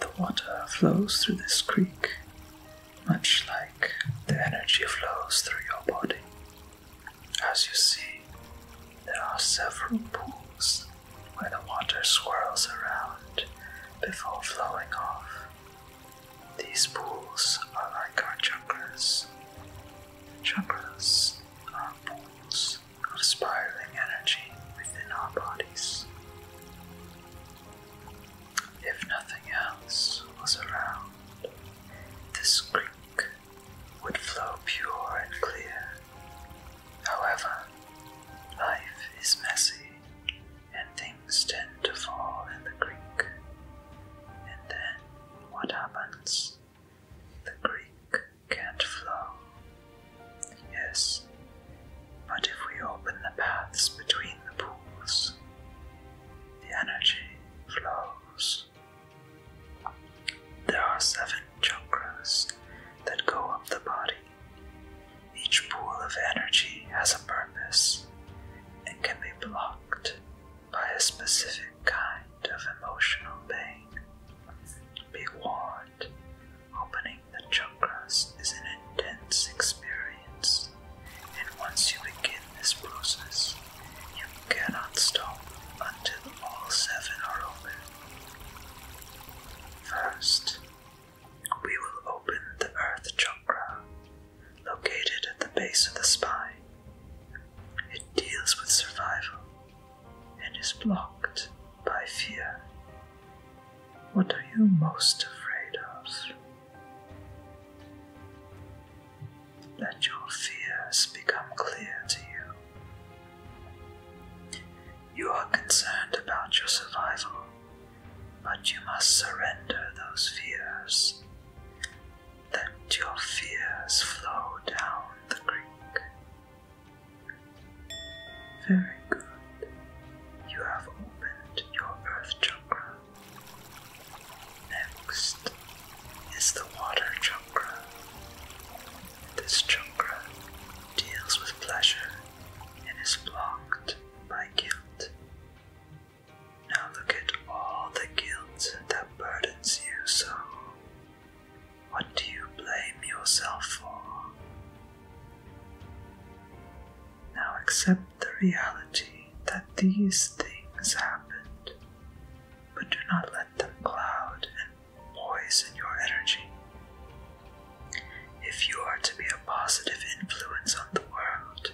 The water flows through this creek much like the energy flows through your body. As you see, there are several pools where the water swirls around before flowing off. These pools are like our chakras. Chakras are pools of spiraling energy within our bodies. If nothing else was around, this creek would flow pure and clear. However, life is messy and things tend to fall in the creek. And then what happens? The Greek can't flow. Yes, but if we open the paths between the pools, the energy flows. There are seven chakras that go up the body. Each pool of energy has a purpose and can be blocked by a specific kind of emotional pain. Be warned, opening the chakras is an intense experience, and once you begin this process, you cannot stop until all seven are open. First, we will open the earth chakra, located at the base of the spine, it deals with survival and is blocked by fear. What are you most afraid of? Let your fears become clear to you. You are concerned about your survival, but you must surrender those fears let your fears flow down the creek. Very good. You have opened your earth chakra. Next is the water chakra. This chakra deals with pleasure and is blocked by guilt. Now look at all the guilt that burdens you so. What do you blame yourself for? Now accept the reality that these things happened, but do not let them cloud and poison your energy. If you are to be a positive influence on the world,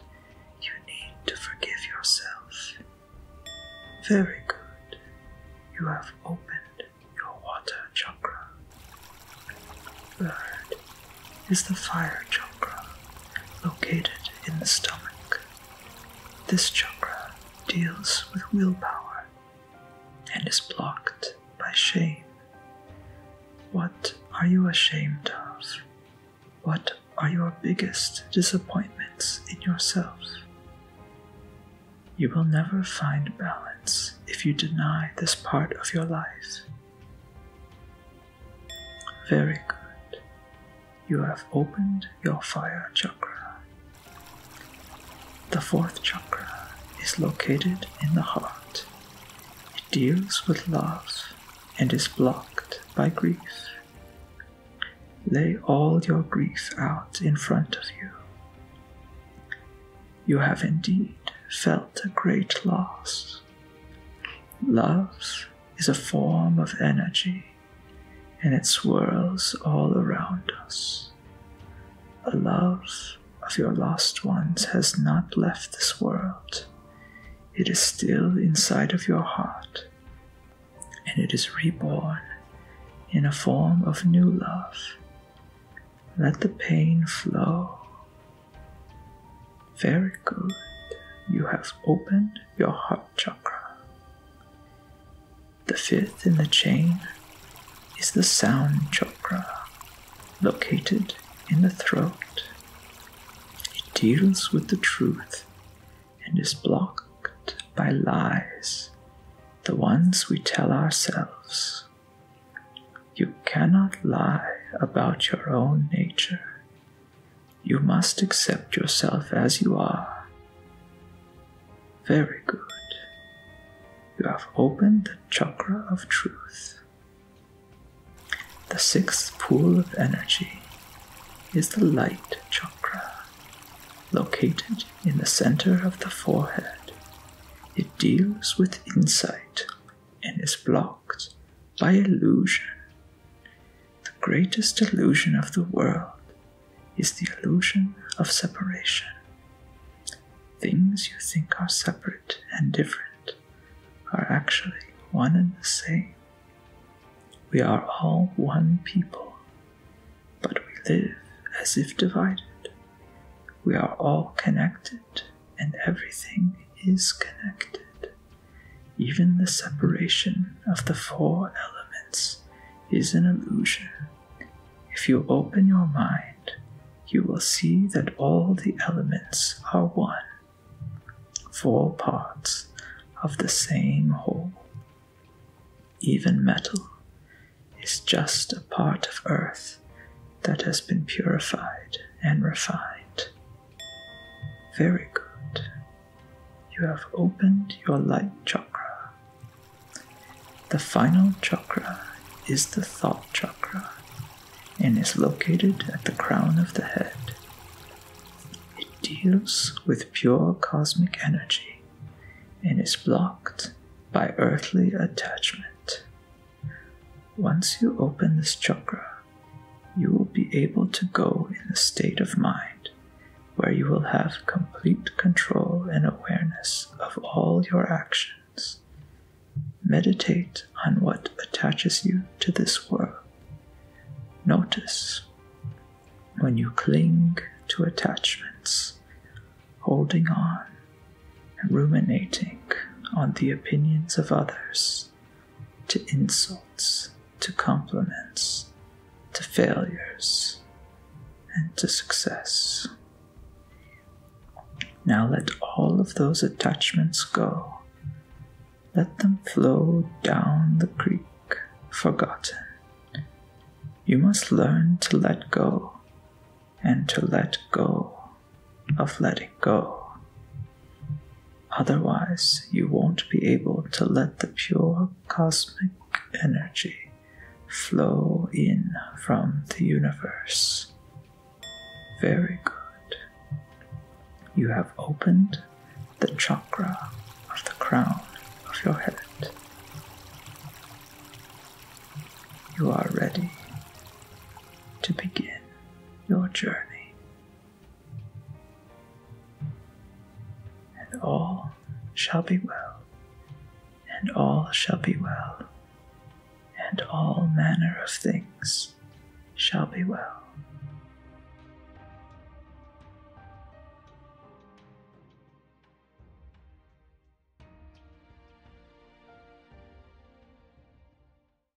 you need to forgive yourself. Very good. You have opened your water chakra. Third is the fire chakra, located in the stomach. This chakra deals with willpower and is blocked by shame. What are you ashamed of? What are your biggest disappointments in yourself? You will never find balance if you deny this part of your life. Very good. You have opened your fire chakra. The fourth chakra is located in the heart deals with loss and is blocked by grief. Lay all your grief out in front of you. You have indeed felt a great loss. Love is a form of energy and it swirls all around us. A love of your lost ones has not left this world. It is still inside of your heart, and it is reborn in a form of new love. Let the pain flow. Very good. You have opened your heart chakra. The fifth in the chain is the sound chakra located in the throat. It deals with the truth and is blocked by lies, the ones we tell ourselves. You cannot lie about your own nature. You must accept yourself as you are. Very good. You have opened the chakra of truth. The sixth pool of energy is the light chakra, located in the center of the forehead. It deals with insight and is blocked by illusion. The greatest illusion of the world is the illusion of separation. Things you think are separate and different are actually one and the same. We are all one people, but we live as if divided. We are all connected, and everything is connected. Even the separation of the four elements is an illusion. If you open your mind, you will see that all the elements are one, four parts of the same whole. Even metal is just a part of earth that has been purified and refined. Very good. You have opened your light chakra. The final chakra is the thought chakra and is located at the crown of the head. It deals with pure cosmic energy and is blocked by earthly attachment. Once you open this chakra, you will be able to go in the state of mind where you will have complete control and awareness of all your actions. Meditate on what attaches you to this world. Notice when you cling to attachments, holding on, and ruminating on the opinions of others to insults, to compliments, to failures, and to success. Now let all of those attachments go. Let them flow down the creek, forgotten. You must learn to let go and to let go of letting go. Otherwise, you won't be able to let the pure cosmic energy flow in from the universe. Very good. You have opened the chakra of the crown of your head. You are ready to begin your journey and all shall be well, and all shall be well, and all manner of things shall be well.